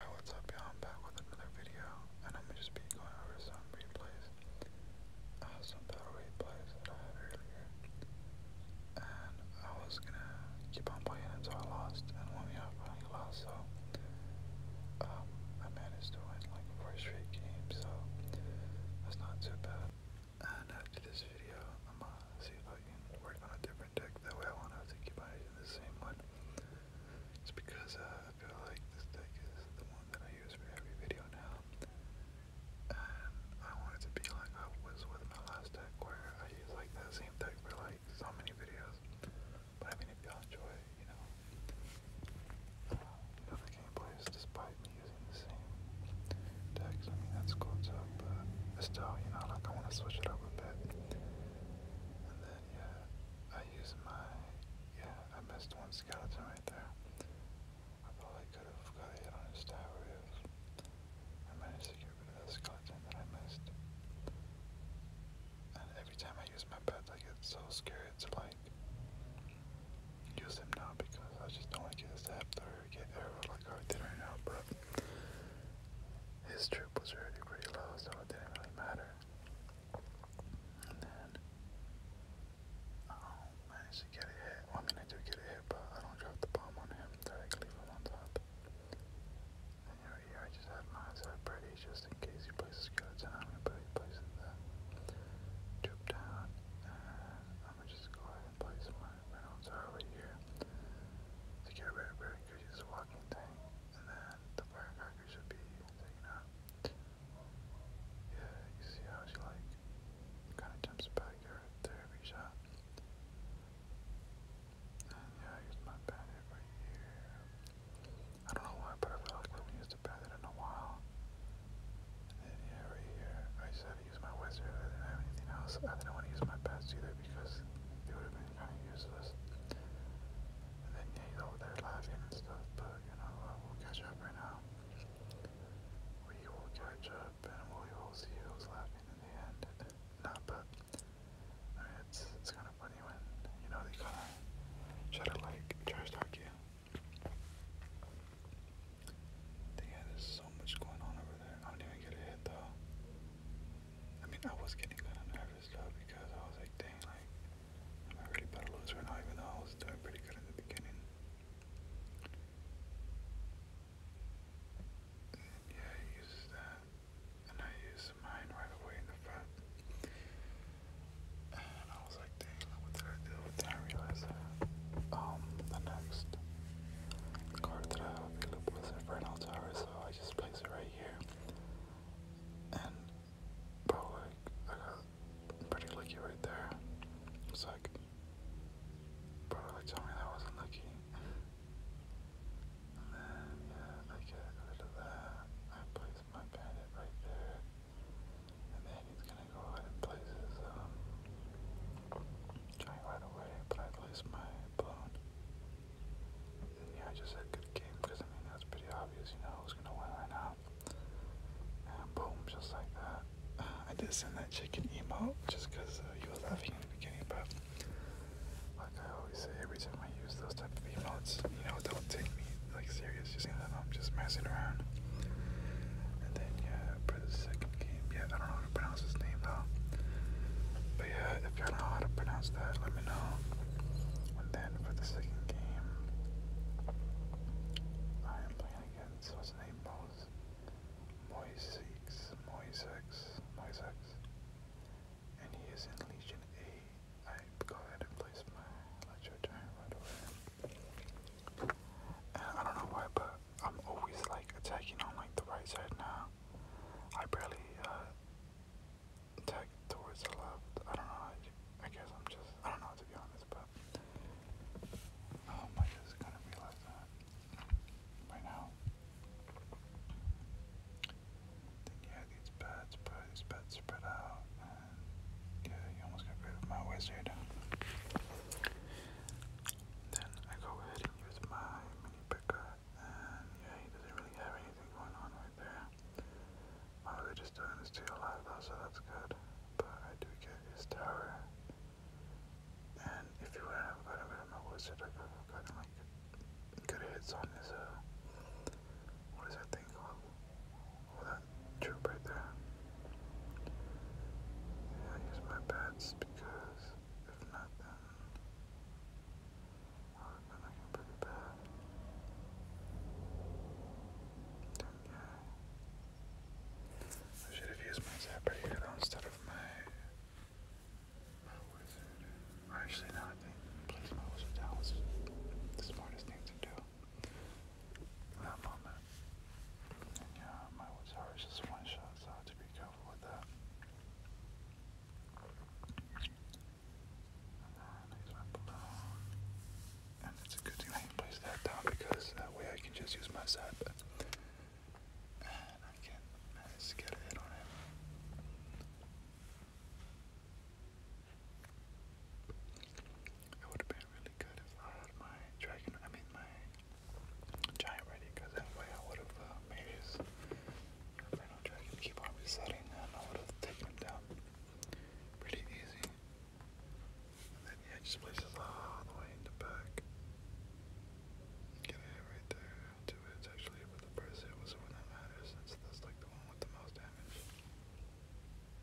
Alright, what's up y'all? I'm back with another video and I'm gonna just be going over some replays. Uh, some battle replays I had earlier. And I was gonna keep on playing until I lost and when we I finally lost so um, I managed to win like four straight games so that's not too bad. And after this video I'm gonna see if I can work on a different deck that way I won't have to keep on using the same one. It's because uh, I feel like this deck is the one that I use for every video now. And I wanted to be like I was with my last deck where I use like the same deck for like so many videos. But I mean if y'all enjoy, you know, uh, you know the gameplays despite me using the same deck, I mean that's cool too, but still, you know, like I wanna switch it up a bit yeah, I use my, yeah, I missed one skeleton right there. I probably could have got a hit on his tower if I managed to get rid of that skeleton that I missed. And every time I use my pet, I get so scared It's like, use them now because I just don't want to get zapped or get arrowed like I did right now, bro. His troop was already pretty low, so it didn't really matter. And then I um, managed to get a hit. I mean, I do get a hit, but I don't drop the bomb on him. Directly from on top. right here, I just had my side pretty, just in case he places skeleton. I'm gonna put he places troop down, I'm gonna just go ahead and place my Reynolds over here to get rid Burger a walking thing, and then the firecracker should be taken out. Yeah, you see how she like kind of jumps back here after every shot. And yeah, I my bandit right here. I don't know why, but I feel like I haven't used a bandit in a while. And yeah, right here, I just had to my wizard. I didn't have anything else. I didn't want to use my best either it because it would have been kind of useless. And then yeah, he's over there laughing and stuff, but you know, uh, we'll catch up right now. We will catch up and we will see who's laughing in the end. Not, but I mean, it's, it's kind of funny when, you know, they kind of try to like trash talk you. Yeah, there's so much going on over there. I don't even get a hit though. I mean, I was getting kind of nervous though because I was like, dang, like, am I really about to now? Even though I was doing pretty good in the beginning. yeah, he uses that, and I use mine right away in the front. And I was like, dang, what did I do? then I realized that um, the next card that I have available is Infernal Tower, so I just place it right here. And, but I got pretty lucky right there. It's like, bro, like tell me that wasn't lucky. And then, I get rid of that. I place my bandit right there. And then he's gonna go ahead and place his, um, right away, but I placed my blown. yeah, I just said good game because I mean that's pretty obvious, you know who's gonna win right now. boom, just like that. I did send that chicken emote just because uh, you were laughing in the beginning, but like I always say, every time I use those type of emotes, you know, don't take me like serious. You see I'm just messing around. And then yeah, for the second second I don't know how to pronounce his name though. But yeah, if y'all know how to pronounce that, let me know. And then for the second game, I am playing against what's his name, Mose, Moisex, Moisex, Moisex, and he is in Legion A. I go ahead and place my Electro Giant I don't know why, but I'm always like attacking on like the right side now. I barely uh, attack towards the left. I don't know. I, guess I'm just I don't know to be honest, but um, I just kind of that right now. Then you yeah, these bats, but these bats spread out, yeah, you almost got rid of my wizard. Then I go ahead and use my mini and yeah, he doesn't really have anything going on right there. My religious stone is still alive so that's good. But I do get his tower. And if you wouldn't have gotten rid of my wizard, I have gotten like good hits on his uh, what is that thing called? that right there. I use my bats because if not, then oh, then I pretty bad. yeah, I should have used my zapper instead of my my wizard. actually, no, I think place my wizard down was the smartest thing to do yeah, mine was hers, just one shot, so I have to be careful with that. And it's a good thing I can that down because that way I can just use my side and I can just get a hit on it been really good if I had my dragon, I mean my giant ready, because that way I would have uh, made his final dragon keep on resetting and I would have taken him down pretty easy. And then yeah, just places all the way in the back. Get a hit right there, two hits actually, but the first hit was the one that matters since that's like the one with the most damage.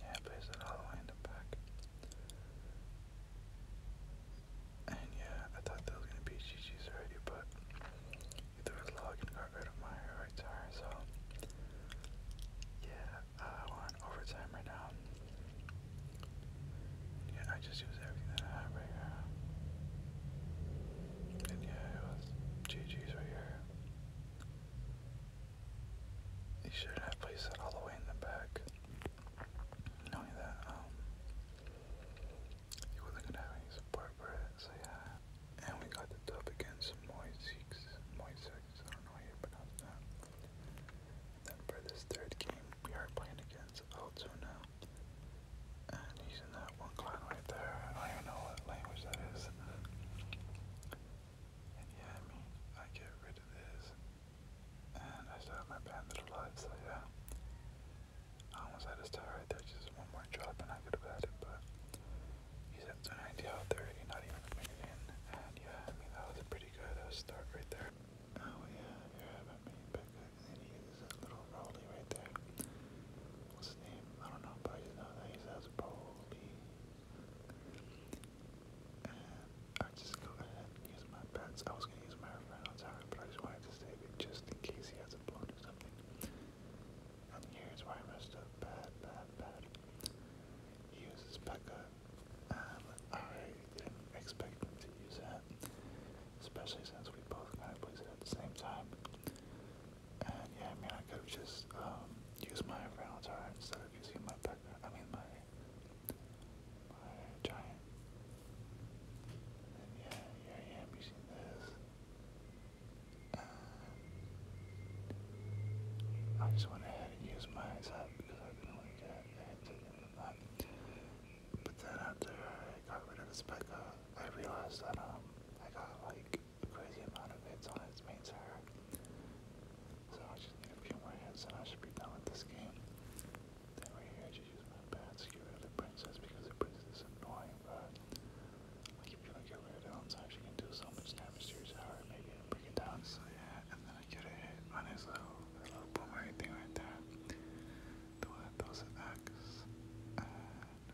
yeah, place it all the way in the back. And yeah, I thought that was gonna be GG's already, but he threw got rid of my right tire, so yeah, uh, we overtime right now. Yeah, I just use everything that I have right here. And yeah, it was GG's right here. You shouldn't have placed it all the way in the back. Not that, um, you wasn't gonna have so yeah. And we got the dub against Moisix, Moisix, I don't know how you pronounce that. then for this third game, we are playing against Altoona. And he's in that one clan right there. I don't even know what language that is. And yeah, I get rid of this. And I still my bandit alive, so yeah. I almost had his tower right there, just one more drop and I could have had but he's at 90 out 30, not even a minute in. And yeah, I mean, that was a pretty good start right there. Oh yeah, you're right about me, Becca. And then he uses that little rolly right there. What's his name? I don't know, but I just know that he says Broly. And I just go ahead and use my bats. I was gonna use my Inferno Tower, but I just wanted to save it just in case he has a blown or something. And here's where I messed up bad, bad, bad. He uses Pekka um, I didn't expect to use that, especially since we both kind of placed it at the same time. And yeah, I mean, I could have just um, used my Reynolds-R instead of using my background. I mean, my my giant. And yeah, here using this. Um, I just went ahead and used my up because I didn't want to get a head ticket from but then after I got rid of his Pekka, I realized that um I got like a crazy amount of hits on its main server. So I just need a few more hits and I should be done with this game. Then right here I just use my bats to get rid of princess because the princess is annoying, but if you don't get rid of it on time she can do so much damage to your tower, maybe break it down. So yeah, I could have hit on his little, his little boomerang thing right there. Do that, those an X. And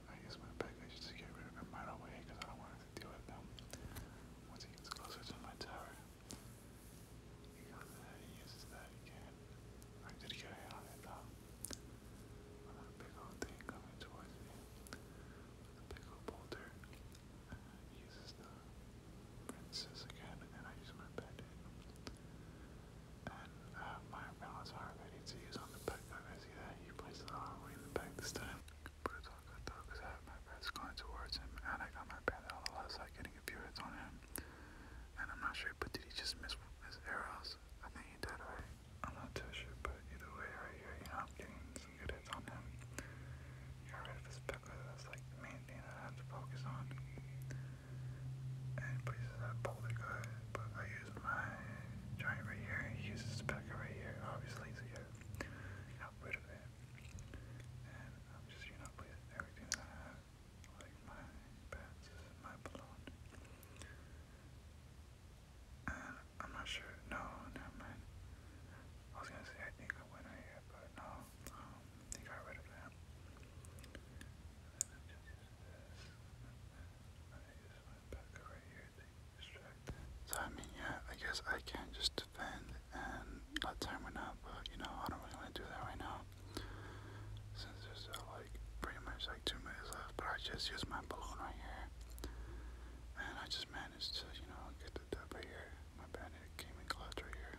I use my package to get rid of him right away because I don't want to deal with them. Once he gets closer to my tower, he uses that again. I did get a hit though. that big old thing coming towards me. big old boulder uh, uses the princess again, and then I use my pet in. And uh, my Malazar I need to use on the back. I see that he plays the way in the back this time. But it's all good though, because I have my bets going towards him, and I got my pet on the left side getting a few hits on him. And I'm not sure, but did he just miss his arrows? I think he did, right? I'm not too sure, but either way, right here, you know, I'm getting some good hits on him. Got rid of his pet because that's like the main thing I have to focus on. And places I pulled it good, but I use my giant right he uses his pecker right here, obviously, so yeah, got rid of it. And I'm just, you know, placing everything that I have, like my bats, my balloon. And I'm not sure, no, never mind. I was gonna say I think I went right here, but no, I just used So I mean, yeah, I guess I can just defend and let time run out, you know, I don't really want to do that right now. Since there's uh, like pretty much like two minutes left, but I just used my balloon right here. And I just managed to, you know, get the dub right here. My bad, came in clouds right here.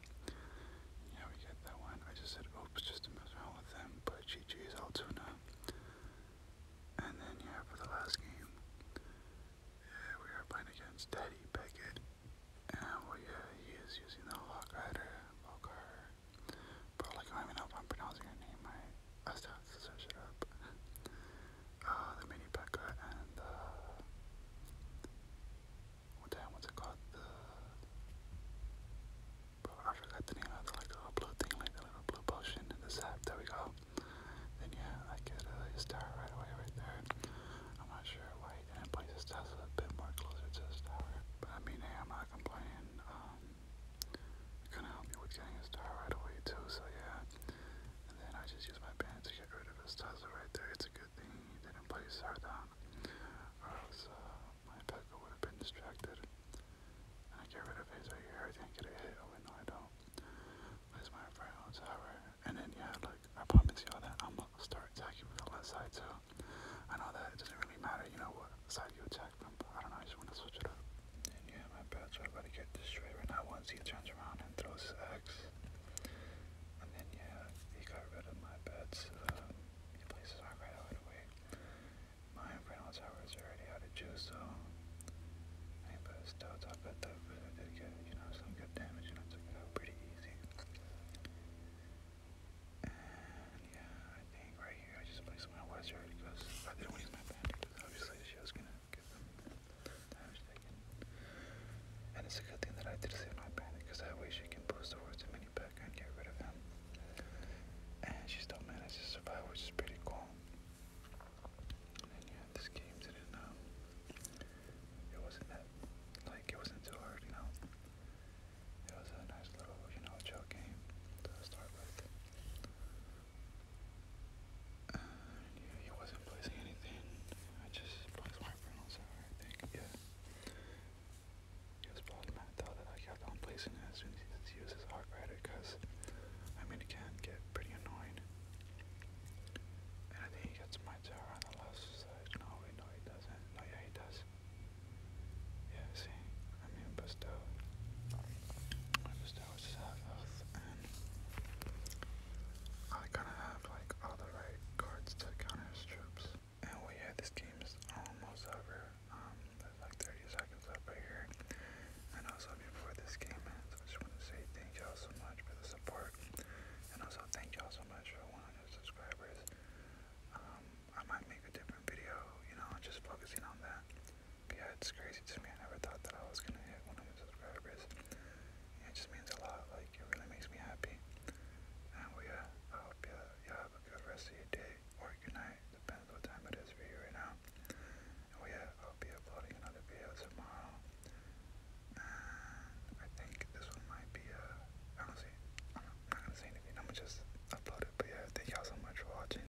Yeah, we get that one. I just said oops just to mess around with them, but GG is Altoona. And then, yeah, for the last game, yeah, we are playing against Teddy Beckett. And, well, yeah, he is using the Hawk Rider, Valkyrie. Bro, like, I don't even know if I'm pronouncing her name right. I still have to search it up uh, the mini packer and the what the hell, what's it called? bro, I forgot the name of the little blue thing, like the little blue potion and the sap. There we go. Then yeah, I get uh, his right away, right there. I'm not sure why he didn't a bit more closer to his tower, but I mean, I'm not complaining. Um, gonna help you with getting his tower right away too. So yeah, and then I just use my band to get rid of his Tesla right there. It's a good thing he didn't play Sardan, or else uh, my Pekka would have been distracted. And I get rid of his right here. I think I get a hit. Oh, wait, no, I don't. Where's my Brown oh, Tower? And then, yeah, like, I promise y'all that I'm gonna start attacking with the left side too. I know that it doesn't really matter, you know, what side you attack from, but I don't know, I just want to switch it up yeah, my bats are about destroyed right now once he turns around and throws his And then yeah, he got rid of my bats. Um, he plays his arc away. My Inferno Tower already out of juice, so I put a stout top at that, you know, some good damage and I pretty easy. And yeah, I think right here I just placed my wizard because I didn't want to use my bandit obviously she was gonna and it's a good thing that I did say not panic, because that way she can post the words to back and get rid of him. And she still managed to survive, which is pretty cool. And yeah, this game didn't um it wasn't that like it wasn't too hard, you know. It was a nice little, you know, chill game to start with yeah, he wasn't placing anything. I just placed my pronouns out, I think. Yeah. He was probably that I kept on placing it as soon as he uses hard rider because, I mean, it can get pretty annoying. And I think he gets my tower on No, wait, no, he doesn't. No, yeah, he does. Yeah, see? I mean, but still. I was I kind of have like all cards to counter troops. And well, yeah, this game almost over. Um, like 30 seconds left right here. And also, before this game ends, I just want to say thank y'all so much for the support. And also, thank y'all so much for all 100 subscribers. Um, I might make a different video, you know, just focusing on that yeah, it's crazy to me. I never thought that I was gonna hit 100 subscribers. it just means a lot. Like it really makes me happy. And yeah, uh, I hope you you have a good rest of your day or your night, depends what time it is for you right now. And yeah, I'll be uploading another video tomorrow. And I think this one might be a. Uh, i am not going to say anything. I'm gonna just upload it. But yeah, thank y'all so much for watching.